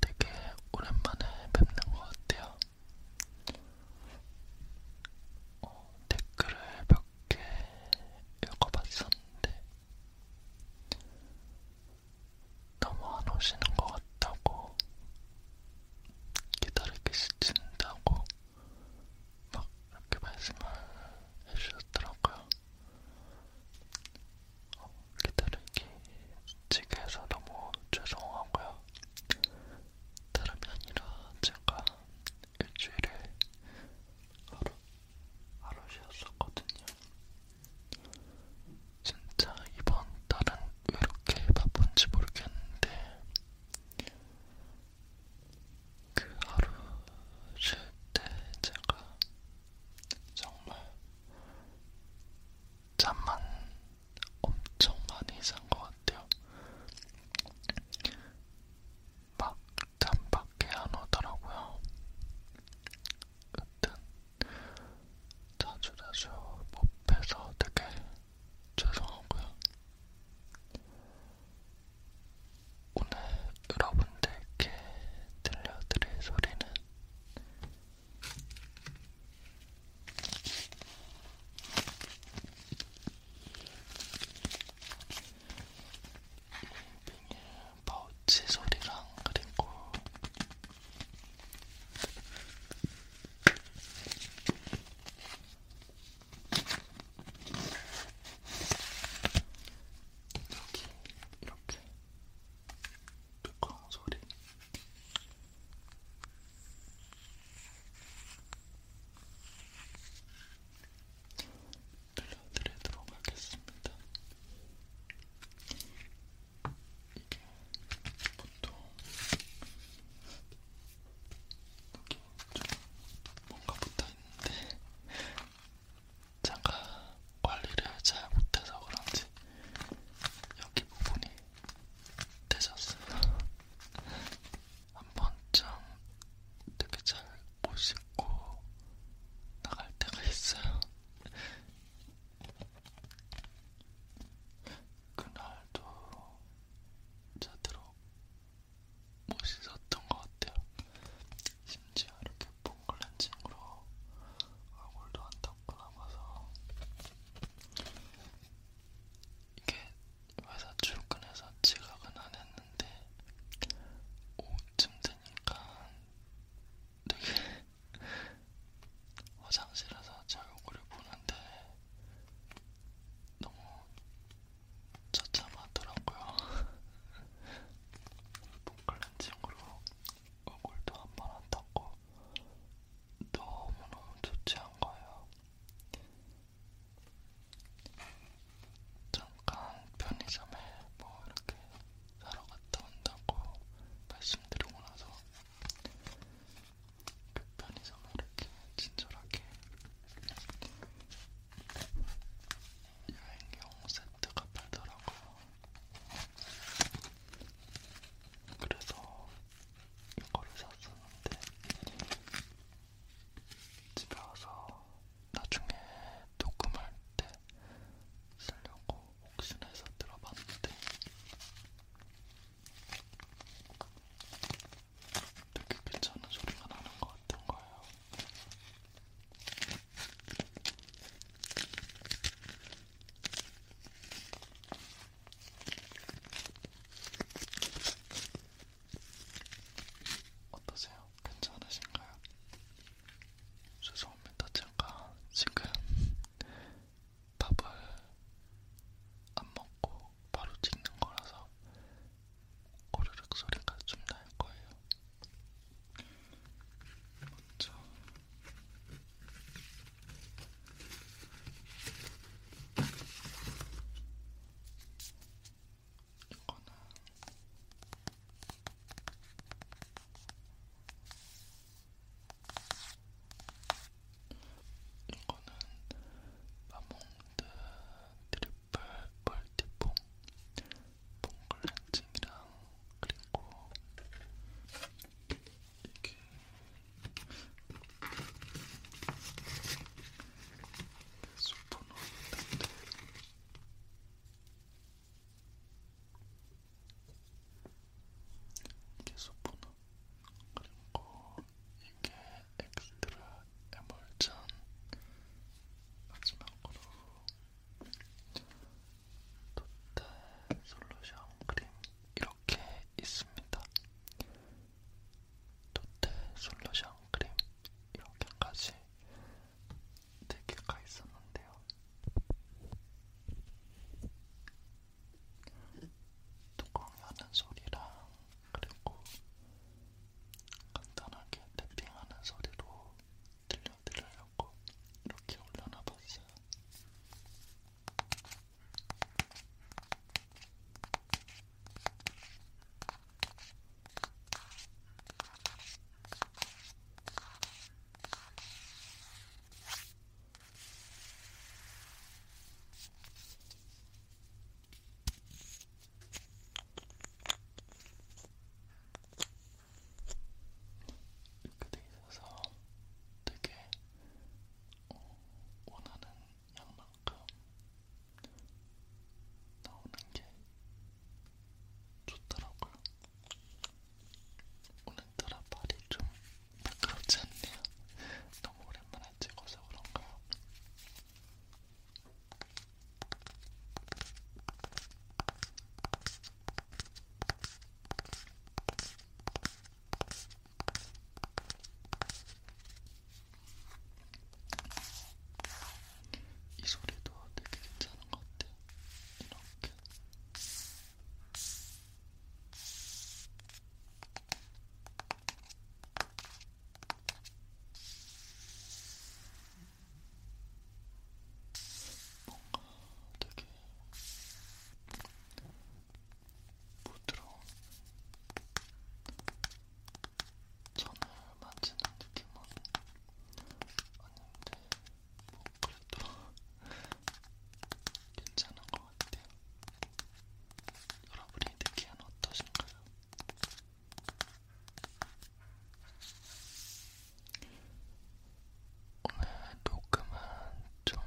되게 오랜만에 뵙는 것 같아요. 어, 댓글을 몇 개 읽어봤었는데 너무 안 오시는 것 같다고 기다리기 싫진다고 막 이렇게 말씀을 해주셨더라고요. 어, 기다리기 지게해서 너무 죄송하고요. 다름이 아니라 제가 일주일에 하루, 하루 쉬었었거든요. 진짜 이번 달은 왜 이렇게 바쁜지 모르겠는데 그 하루 쉴 때 제가 정말 잠만 엄청 많이 잔 것 같아요. 막 잠밖에 안 오더라고요. 여튼 자주자주 못 빼서 되게 죄송하고요. 오늘 여러분들께 들려드릴 소리는 비닐 파우치 소리랑 그리고 이렇게 이렇게 뚜껑 소리. 들려드리도록 하겠습니다. 이게 보통 여기 좀 뭔가 붙어있는데 제가 관리를 잘 못해서 그런지 여기 부분이 되셨어요. 한 번쯤 되게 잘못 씻고 나갈 때가 있어요. 그날도 제대로 못 씻었던 것 같아요. 심지어 이렇게 제품 클렌징으로 얼굴도 안 닦고 남아서 이게 회사 출근해서 지각은 안 했는데 오후쯤 되니까 되게 화장실에서 제 얼굴을 보는데 너무 처참하더라고요. 폼클렌징으로 얼굴도 한 번안 닦고 너무너무 좋지 않거예요 잠깐 편의점에 뭐 이렇게 사러 갔다 온다고 말씀드리고 나서 그 편의점에 이렇게 친절하게 여행용 세트가 팔더라고요. 그래서 이거를 샀었는데 집에 와서 나중에 녹음할 때 쓰려고 혹시나 해서 들어봤는데 되게 괜찮은 소리가 나는 것 같은 거예요. 어떠세요? 괜찮으신가요? 죄송합니다. 제가 지금 밥을 안 먹고 바로 찍는 거라서 오르륵 소리가 좀 날 거예요. 먼저 이거는 이거는 마몽드 트리플 멀티폼 뽕글 렌징이랑 그리고 이게 소포노인데 이게 소포노 그리고 이게 엑스트라 에멀전 마지막으로 토탈 솔루션 크림 이렇게 있습니다. 토탈 솔루션 크림 이렇게 한 가지 4개가 있었는데요. 뚜껑이 하는 소리랑 그리고 간단하게 탭핑하는 소리로 들려 알려드리려고 이렇게 올려놔봤어요. 이렇게 돼 있어서 되게 어, 원하는 양만큼 나오는 게 좋더라고요. 오늘따라 발이 좀 매끄럽지 않네요. 너무 오랜만에 찍어서 그런가요? 이 소리도 되게 괜찮은 것 같아요. 이렇게. 뭔가 되게 부드러운 천을 만지는 느낌은 아닌데 뭐 그래도 괜찮은 것 같아요. 여러분이 느끼는 어떠신가요? 오늘 녹음은 좀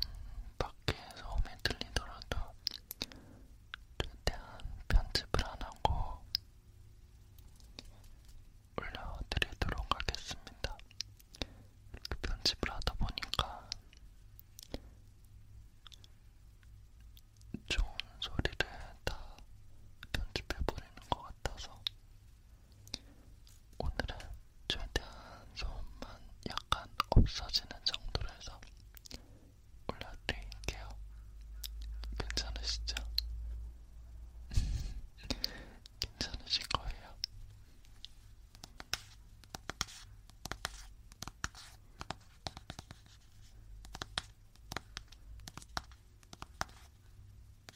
밖에서 음에 들리더라도 최대한 편집을 안 하고 올려드리도록 하겠습니다. 이렇게 편집을 하다 보니까 좋은 소리를 다 편집해버리는 것 같아서 오늘은 최대한 소음만 약간 없어지는 정도로 해서 올려드릴게요. 괜찮으시죠? 괜찮으실 거예요.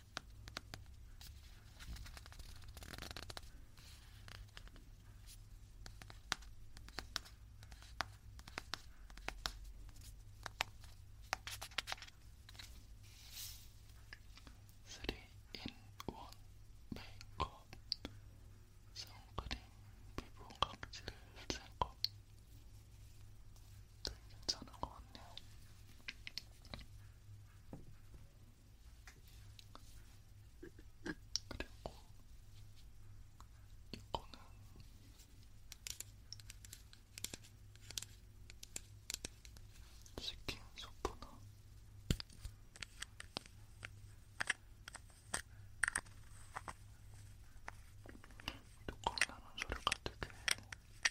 3인1 메이크업 선크림 피부 각질을 제거 되게 네, 괜찮은 것 같네요. 그리고 이거는 치킨 소프나 녹음나는 소리가 되게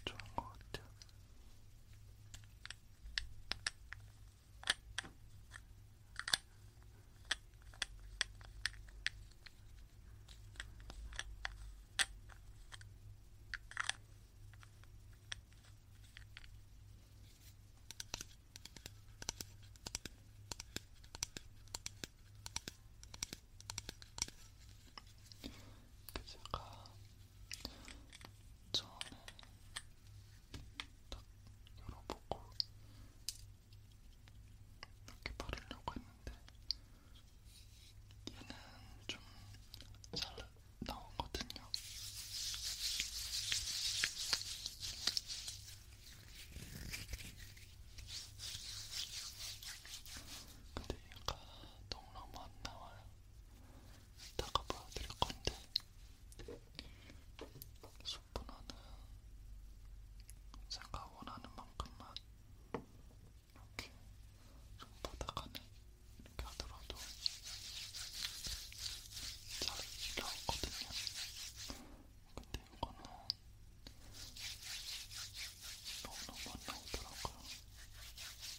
좋은 것 같아요. 그 제가 처음에 딱 열어보고 이렇게 바르려고 했는데 얘는 좀 잘 나오거든요. 근데 얘가 너무너무 안 나와요. 이따가 보여드릴 건데 수분화는 제가 원하는 만큼만 이렇게 좀 보다가는 이렇게 하더라도 잘 나왔거든요. 근데 이거는 너무너무 안 나오더라고요. 이거를 딱,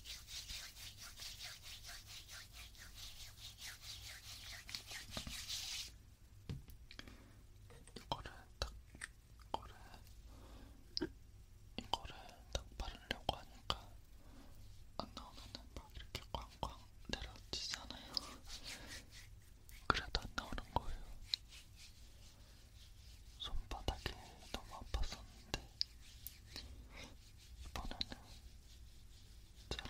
이거를, 이거를 딱 바르려고 하니까 안 나오면은 막 이렇게 꽝꽝 내려지잖아요. 그래도 안 나오는 거예요. 손바닥이 너무 아팠었는데 이번에는 잘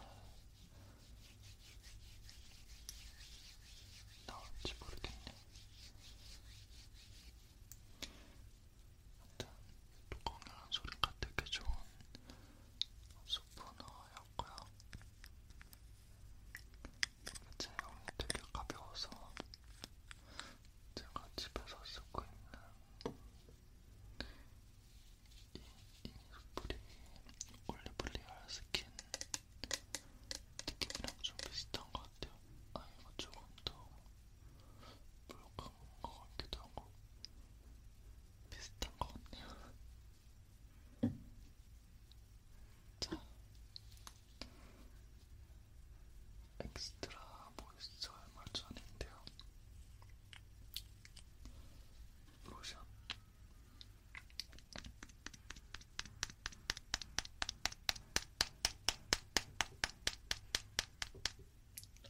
나올지 모르겠네요. 하여튼 공연한 소리가 되게 좋은 소프너였고요. 제 몸이 되게 가벼워서 제가 집에서 쓰고 있는 이 이니스프리 올리브리얼 스킨 느낌이랑 좀 비슷한 것 같아요. 아 이거 조금 더 묽은 것 같기도 하고 비슷한 것 같네요. 자, 엑스트라 모이스처 얼마 전인데요. 로션.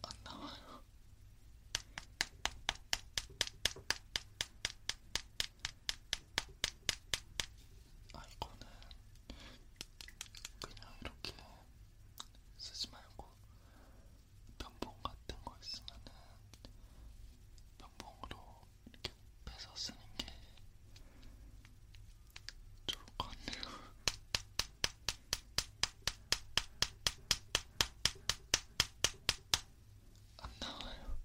안 나와요. 아, 이거는 그냥 이렇게 쓰지 말고 면봉 같은 거 있으면은 면봉으로 이렇게 빼서 쓰는 게 좋을 것 같네요. 안 나와요.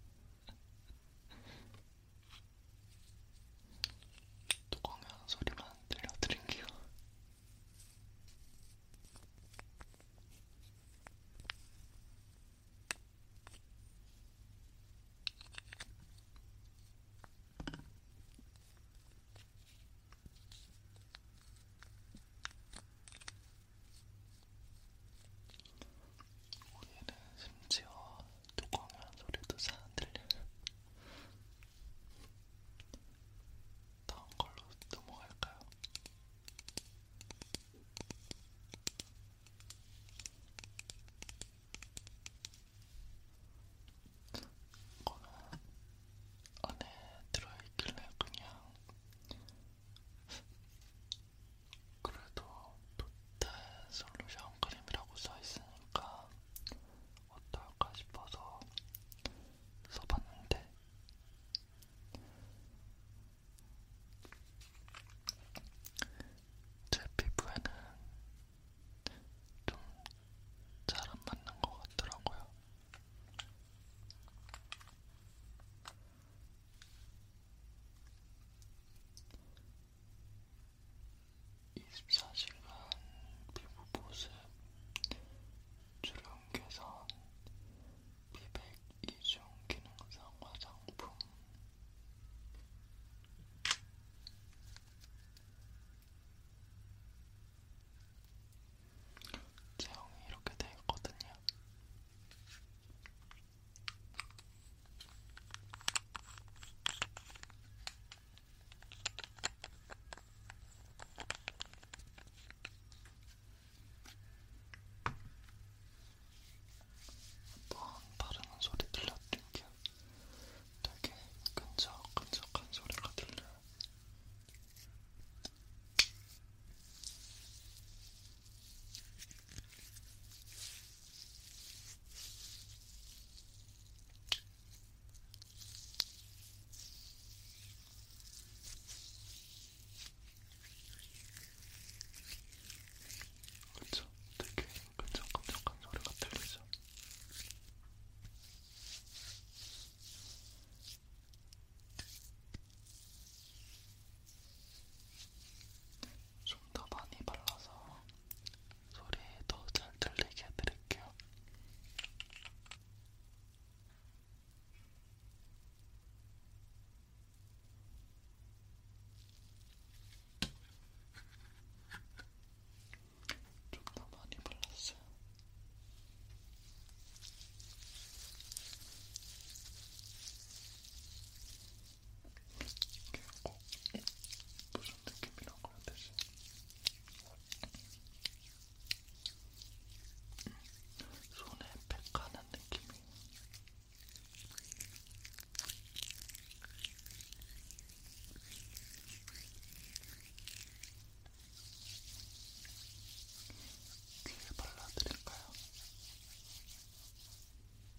뚜껑에 하는 소리만 들려드릴게요. 우리는 심지어 뚜껑한 소리도 잘안 들려요. 다음 걸로 넘어갈까요? 이거는 안에 들어있길래 그냥 그래도 토탈 솔루션 크림이라고 써있으니까 어떨까 싶어서 써봤는데 제 피부에는 좀 잘 안 맞는 것 같더라고요. 24시간 피부 보습, 주름 개선, 피백 이중 기능성 화장품. 제형이 이렇게 되어있거든요. 한번 바르는 소리 들렸던게 되게 끈적끈적한 소리가 들려요. 그쵸? 되게 끈적끈적한 소리가 들리죠? 좀 더 많이 발라서 소리 더잘 들리게 해드릴게요. 좀더 많이 발랐어요. 어? 무슨 느낌이라고 해야 되지? 손에 팩하는 느낌이 귀에 발라드릴까요?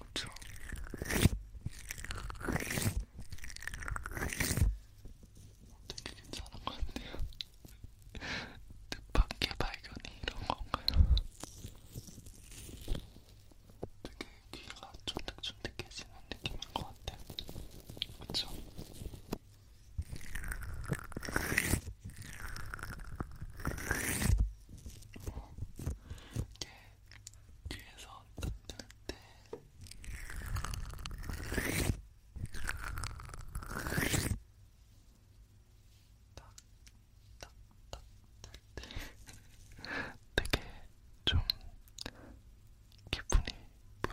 그쵸? 되게 괜찮은 것 같네요. 뜻밖의 발견이 이런 건가요? 되게 귀가 쫀득쫀득해지는 느낌인 것 같아요. 그쵸? 뭐, 이게 귀에서 뜯을 때 딱, 딱, 딱, 딱, 되게 좀 기분이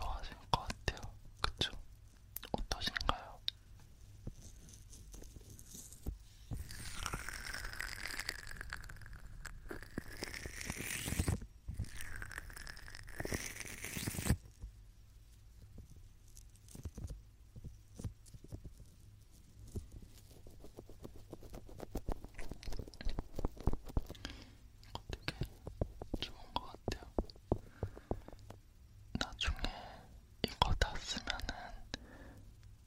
묘하실 것 같아요. 그쵸? 어떠신가요? 되게 좋은 것 같아요. 나중에 이거 다 쓰면은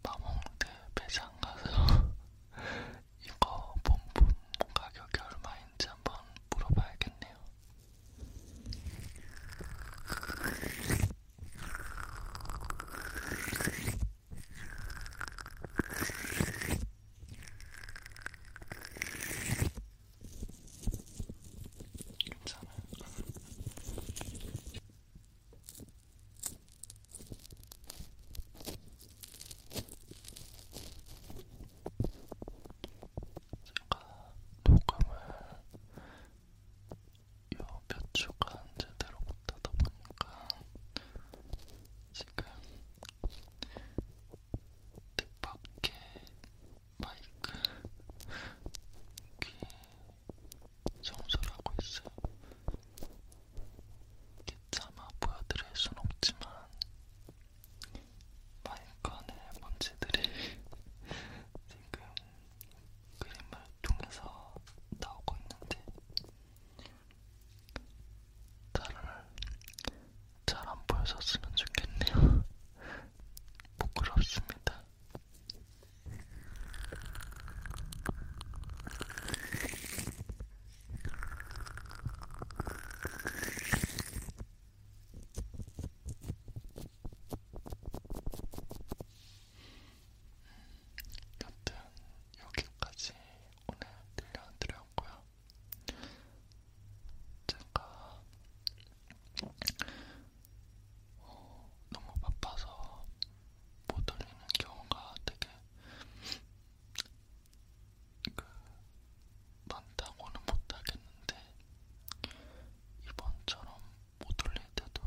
마몽드 매장 가서 이거 본품 가격이 얼마인지 한번 물어봐야겠네요. 괜찮아요. 제가 녹음을 요몇 주간 제대로 못하다 보니까 지금 뜻밖의 마이크 귀 청소를 하고 있어요. 차마 보여드릴 순 없지만 마이크 안에 먼지들이 지금 그림을 통해서 나오고 있는데 다른 잘안 보여줬으면 좋겠네요. 부끄럽습니다. 여튼 여기까지 오늘 들려드렸고요. 제가 어, 너무 바빠서 못 올리는 경우가 되게 그 많다고는 못하겠는데 이번처럼 못 올릴 때도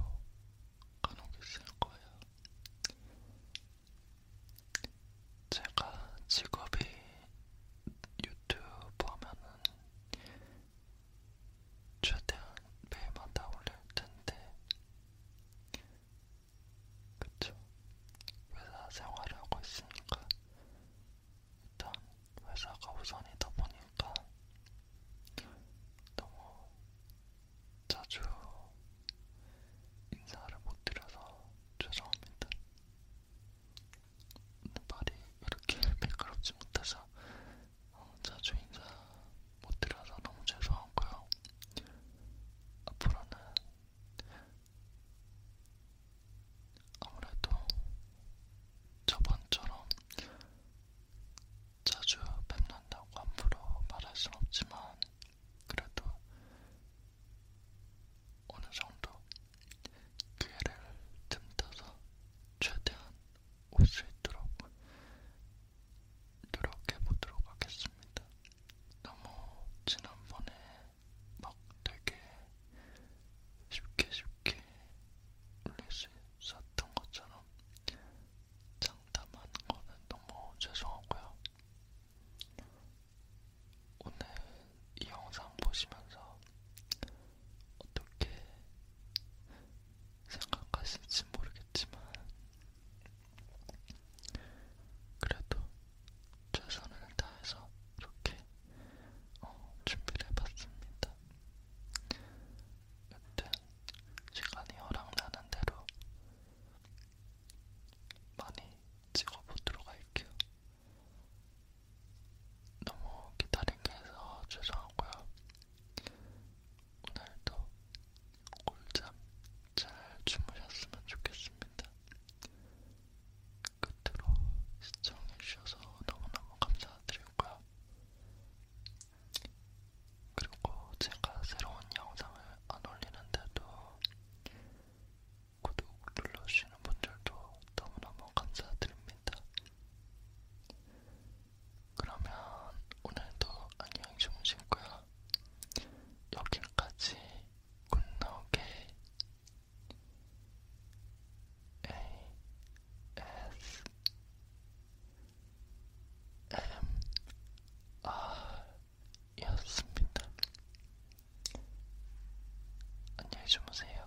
간혹 있을 거예요. 제가 직업이 유튜브 하면은 최대한 매일마다 올릴 텐데 그쵸? 회사 생활을 하고 있으니까 일단 회사가 우선이다 보니까 너무 자주 인사를 못 드려서 죄송합니다. 말이 이렇게 매끄럽지 못해서 어, 자주 인사 못 드려서 너무 죄송하고요. 앞으로는 아무래도 저번처럼 자주 뵙는다고 함부로 말할 순 없지만 그래도 어느 정도 기회를 틈타서 최대한 올 수 있도록 노력해보도록 하겠습니다. 너무 지난번에 막 되게 쉽게 쉽게 릴리스 썼던 것처럼 장담한 거는 너무 죄송하고요. 오늘 이 영상 보시면서 어떻게 생각하실지 모르겠지만 그래도 최선을 다해서 이렇게 어, 준비를 해봤습니다. 여튼 시간이 허락나는 대로 많이 찍어보도록 할게요. 너무 기다린 게 해서 죄송하고요. 오늘도 꿀잠 잘 주무셨으면 좋겠습니다. 끝으로 시청해주셔서 너무너무 감사드리고요. 그리고 제가 새로운 영상을 안 올리는데도 구독 눌러주시는 분들도 너무너무 감사드립니다. 그러면 오늘도 안녕히 주무실 거야. 여기까지 굿노게 ASMR이었습니다. 안녕히 주무세요.